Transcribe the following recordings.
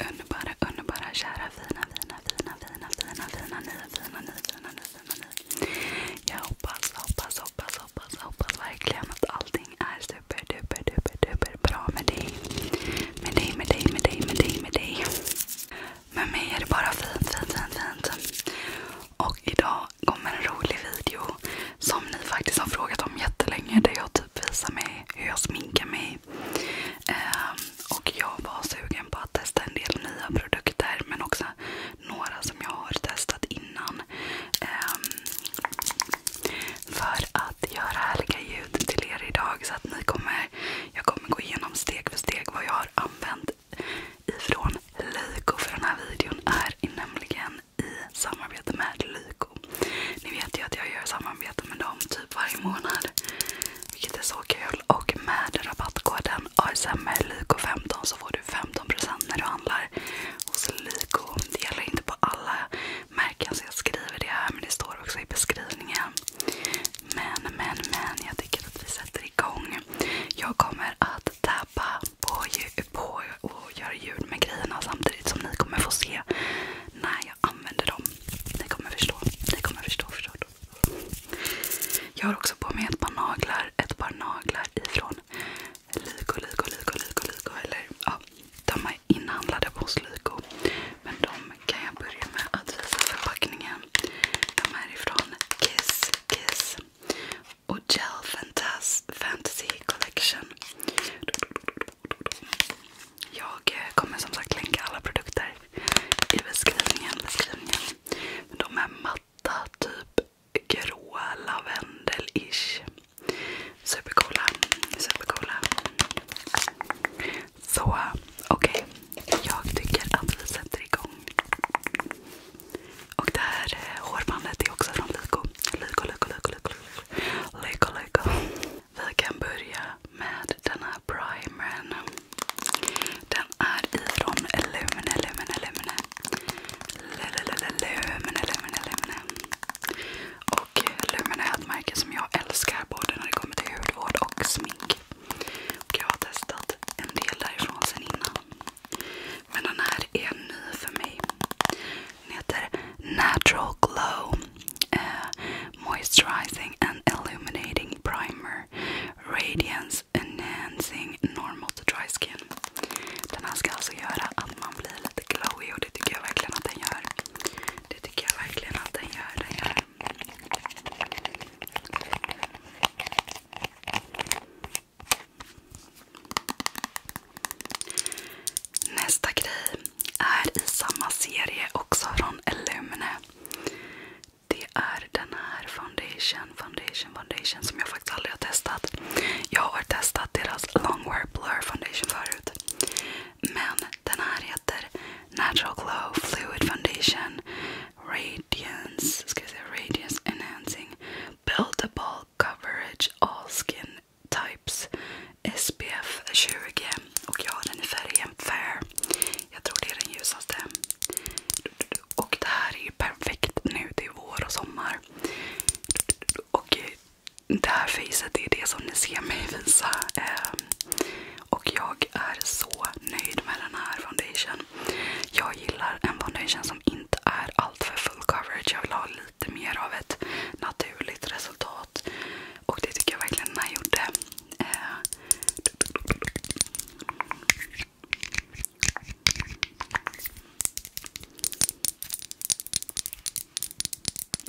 Underbara, underbara, kära, fina, fina, fina, fina, fina, fina, ni, fina, ni, fina, ni, fina, ni. Jag hoppas, hoppas, hoppas, hoppas, hoppas verkligen att allting är super, duper, duper, duper, bra med dig. Med dig, med dig, med dig, med dig, med dig. Med mig är det bara fint, fint, fint, fint. Och idag kommer en rolig video som ni faktiskt har frågat om jättelänge. Där jag typ visar mig hur jag sminkar mig. Um, och jag var sugen på att testa en del nya produkter men också några som jag har testat innan. Um, för att göra härliga ljud till er idag. Så att ni kommer, jag kommer gå igenom steg för steg vad jag har använt ifrån Lyko. För den här videon är nämligen i samarbete med Lyko. Ni vet ju att jag gör samarbete med dem typ varje månad. Vilket är så kul. Och med rabattkoden ASMRLyko15 så får du 15% när du handlar hos Lyko. Det gäller inte på alla märken så jag skriver det här. Men det står också i beskrivningen. Men, men, men. Jag tycker att vi sätter igång. Jag kommer att tappa på, på och göra ljud med grejerna samtidigt som ni kommer få se när jag använder dem. Ni kommer förstå. Ni kommer förstå. förstå. Jag har också på mig ett par naglar. Ett par naglar ifrån Lyko, Lyko, Lyko, Lyko, Lyko. Eller ja, de är inhandlade på Slyko. Men de kan jag börja med att visa förpackningen. De är ifrån Kiss Kiss och Gel Fantasy Collection. Jag eh, kommer som sagt länka alla produkter i beskrivningen. de är matta, typ gråa, lavendel-ish. Supercoola, supercoola. Så okej, jag tycker att vi sätter igång. Och det här eh, hårbandet är också från Lyko. Lyko, Lyko, Lyko, Lyko. Lyko, Lyko. Vi kan börja med den här primern. Den är ifrån Lumine, Lumine, Lumine. Lumine, Lumine, Lumine. Och Lumen är ett märke som jag älskar både när det kommer till hudvård och smink. Och jag har testat en del därifrån sen innan. Men den här är ny för mig. Den heter Natural Glow eh, Moisturizing and Illuminating Primer Radiance Enhancing Normal to Dry Skin. Den här ska alltså göra att man blir lite glowy och det tycker jag verkligen att den gör. Det tycker jag verkligen att den gör. Nästa grej är i samma serie också från Illumine. Det är den här foundation, foundation, foundation som jag faktiskt aldrig har testat. Jag har testat deras Longwear Blur Foundation förut. Men den här heter Natural Glow Fluid Foundation Radiance, ska jag säga, Radiance Enhancing Buildable Coverage All Skin Types SPF 20. Och jag har den i färgen Fair. Jag tror det är den ljusaste. Och det här är ju perfekt nu till vår och sommar. Och det här facet är det som ni ser mig visa. Eh, och jag är så nöjd med den här foundation. Jag gillar en foundation som inte är alltför full coverage. Jag vill ha lite mer av ett naturligt resultat. Och det tycker jag verkligen den här gjorde. Eh,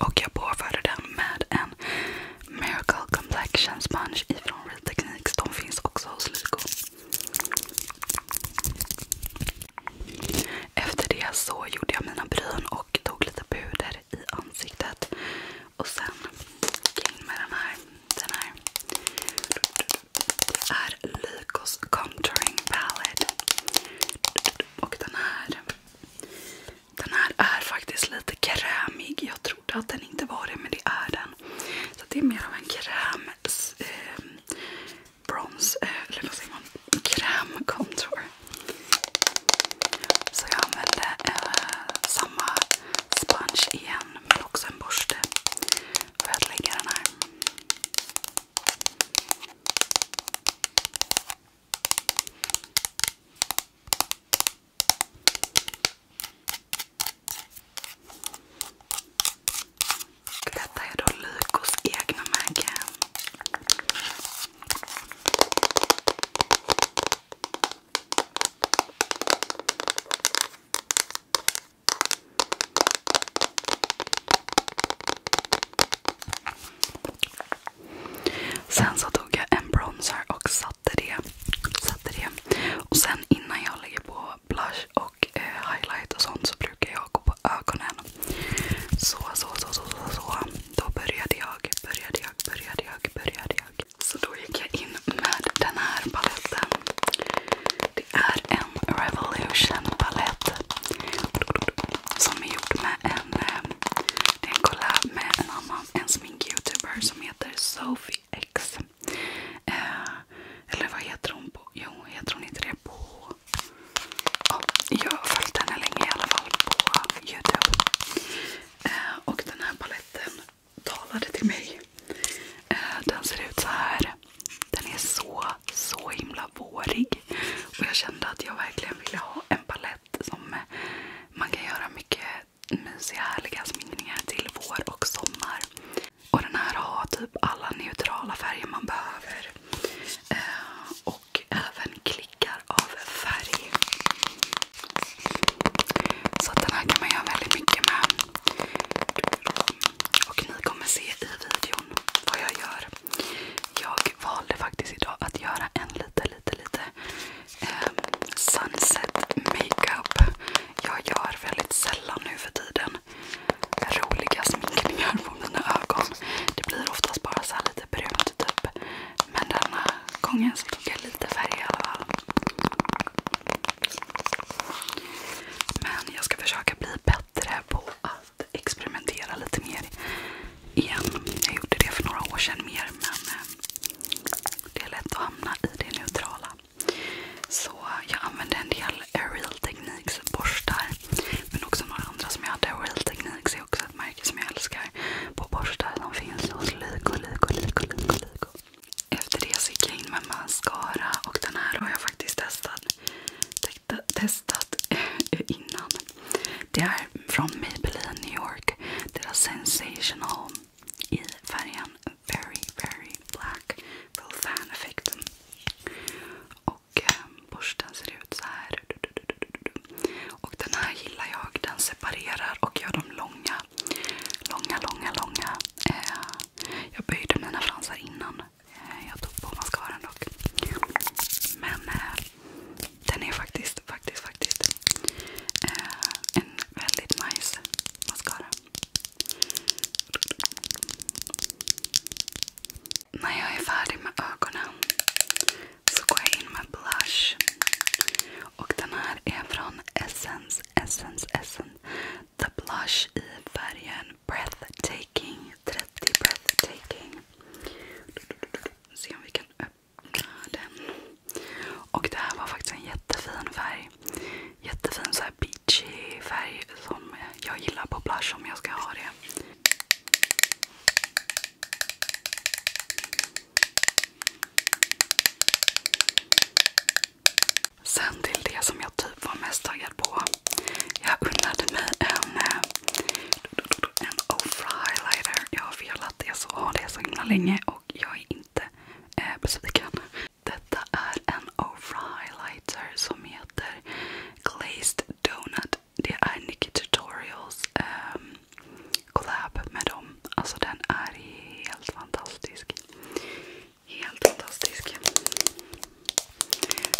och jag påförde den med en Miracle Complexion Sponge ifrån Real Techniques. De finns också hos Lyko. Efter det så gjorde jag mina bryn och tog lite puder i ansiktet. Och sen gick jag in med den här. Den här. Det är Lycos Contouring Palette. Och den här. Den här är faktiskt lite krämig. Jag trodde att den inte var det, men det är den. Så det är mer av en kräm... Eh, brons... Eh, eller vad säger man? Kräm contour. Så jag använde eh, samma sponge igen, men också en borste för att lägga den här. Detta är då Lykos egna märke. Sen så tog jag en bronzer och satte det. Satte det. Och sen innan jag lägger på blush och eh, highlight och sånt så brukar jag gå på ögonen. Så, så, så, så, så, så. Då började jag, började jag, började jag, började jag. Så då gick jag in med den här paletten. Det är en Revolution Som är gjord med en, eh, det är en collab med en annan som heter Sophie eh, eller vad heter hon på? Jo, heter hon inte det på... jag har följt henne länge i alla fall på Youtube. Eh, och den här paletten talade till mig. Eh, den ser ut så här. Den är så, så himla vårig. Och jag kände att jag verkligen ville ha en palett som man kan göra mycket mysiga, härliga sminkningar till vår och sommar. Och den här har typ alla neutrala färger man behöver. Eh, och även klickar av färg. Så den här kan man göra väldigt mycket med. Och ni kommer se i videon vad jag gör. Jag valde faktiskt idag att göra en lite, lite, lite eh, sunset makeup. Jag gör väldigt sällan nu roliga sminkningar på mina ögon. Det blir oftast bara så lite brunt typ. Men denna gången så tog jag lite färg i alla fall. Men jag ska försöka bli bättre på att experimentera lite mer igen. Jag gjorde det för några år sedan mer men eh, det är lätt att hamna i det neutrala. Så jag använde en del Real Techniques borstar. Men också några andra som jag hade. Real Techniques är också ett märke som jag älskar. På borstar De finns hos Lyko, Lyko, Lyko, Lyko, Lyko. Efter det så gick jag in med mascara och den här har jag faktiskt testat, testat innan. Det är från Maybelline New York. Deras Sensational i färgen Very Very Black Full Fan Effect. Och ehm, borsten ser ut så här. Och den här gillar jag. Den separerar och gör dem långa långa, långa, långa. Eh, jag böjde mina fransar innan eh, jag tog på mascaran dock. Men eh, den är faktiskt, faktiskt, faktiskt en väldigt nice mascara. När jag är färdig med ögonen så går jag in med blush. Och den här är från Essence, Essence, Essence. The Blush i färgen Breathtaking. 30 Breathtaking. Se om vi kan öppna den. Och det här var faktiskt en jättefin färg. Jättefin så här beachy färg som jag gillar på blush om jag ska ha det. Sen till det som jag typ var mest taggad på. Jag unnade mig en, eh, en Ofra highlighter. Jag har velat det så, det så himla länge och jag är inte eh, besviken. Detta är en Ofra highlighter som heter Glazed Donut. Det är Nicky Tutorials eh, collab med dem. Alltså den är helt fantastisk. Helt fantastisk.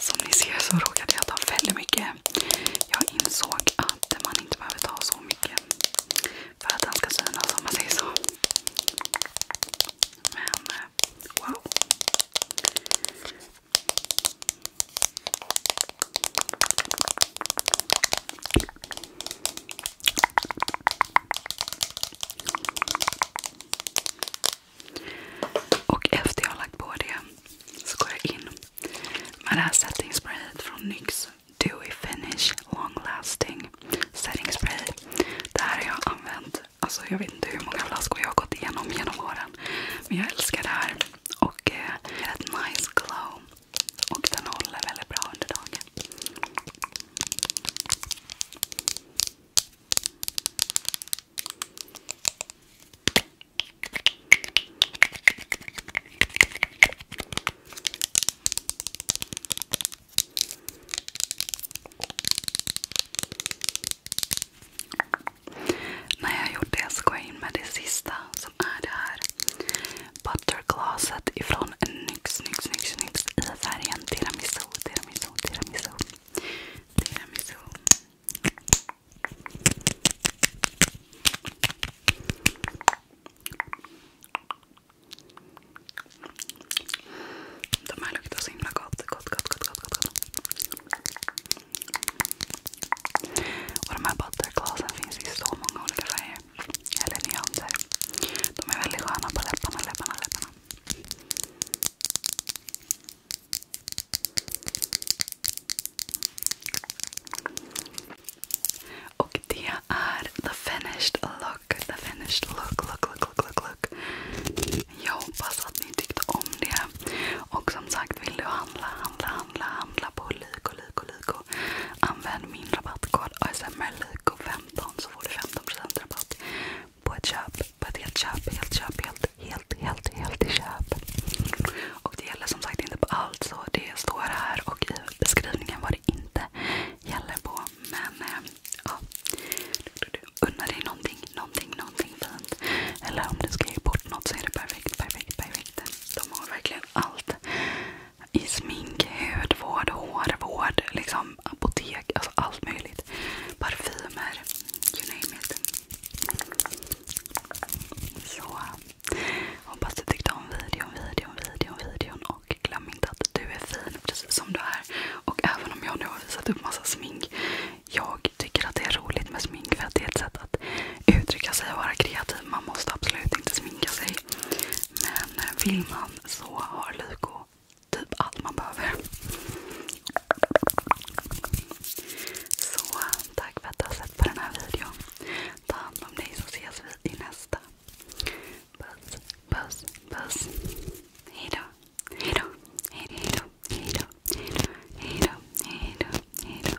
Som ni ser så råkade jag ta väldigt mycket. Jag insåg att man inte behöver ta så mycket för att den ska synas om man säger så. Men eh, wow. Och efter jag har lagt på det så går jag in med det här setting från NYX Dewy Finish Long Lasting Setting Det här har jag använt, alltså jag vet inte hur många flaskor jag har gått igenom genom åren. Men jag älskar det här. Och eh, ett nice glow. Och den håller väldigt bra under dagen. När jag gjort det så går jag in med det sista som är det här butter glaset ifrån NYX, NYX, NYX, NYX i färgen tiramisu, tiramisu, tiramisu. tiramisu. De här luktar så himla gott. Gott, gott, gott, gott, gott. Och de här butterglasen finns i så många olika färger. Eller nyanser. De är väldigt sköna på läpparna, läpparna, läpparna. Och det är the finished look. The finished look, look, look, look, look, look. Jag hoppas att ni tyckte om det. Och som sagt, vill du handla, handla, handla, handla på Lyko, Lyko, Lyko använd min rabattkod ASMRLIKO15 så får du 15% rabatt på ett köp. På ett helt köp, helt köp, helt, helt, helt, helt köp. Och det gäller som sagt inte på allt så det står här och i beskrivningen vad det inte gäller på. Men eh, ja, unna dig någonting, någonting, någonting fint. Eller om du ska ge bort något så är det perfekt, perfekt, perfekt. De har verkligen verkligen allt. I smink, hudvård, hårvård, liksom apotek, alltså allt möjligt. Parfymer, you name it. Så hoppas du tyckte om videon, videon, videon, videon. Och glöm inte att du är fin precis som du är. Och även om jag nu har visat upp massa smink. Jag tycker att det är roligt med smink för att det är ett sätt att uttrycka sig och vara kreativ. Man måste absolut inte sminka sig. Men vill man så har Lyko typ allt man behöver. Så tack för att du har sett på den här videon. Ta hand om dig så ses vi i nästa. Puss, puss, puss. Hejdå, hejdå, hejdå, hejdå, hejdå, hejdå, hejdå, hejdå.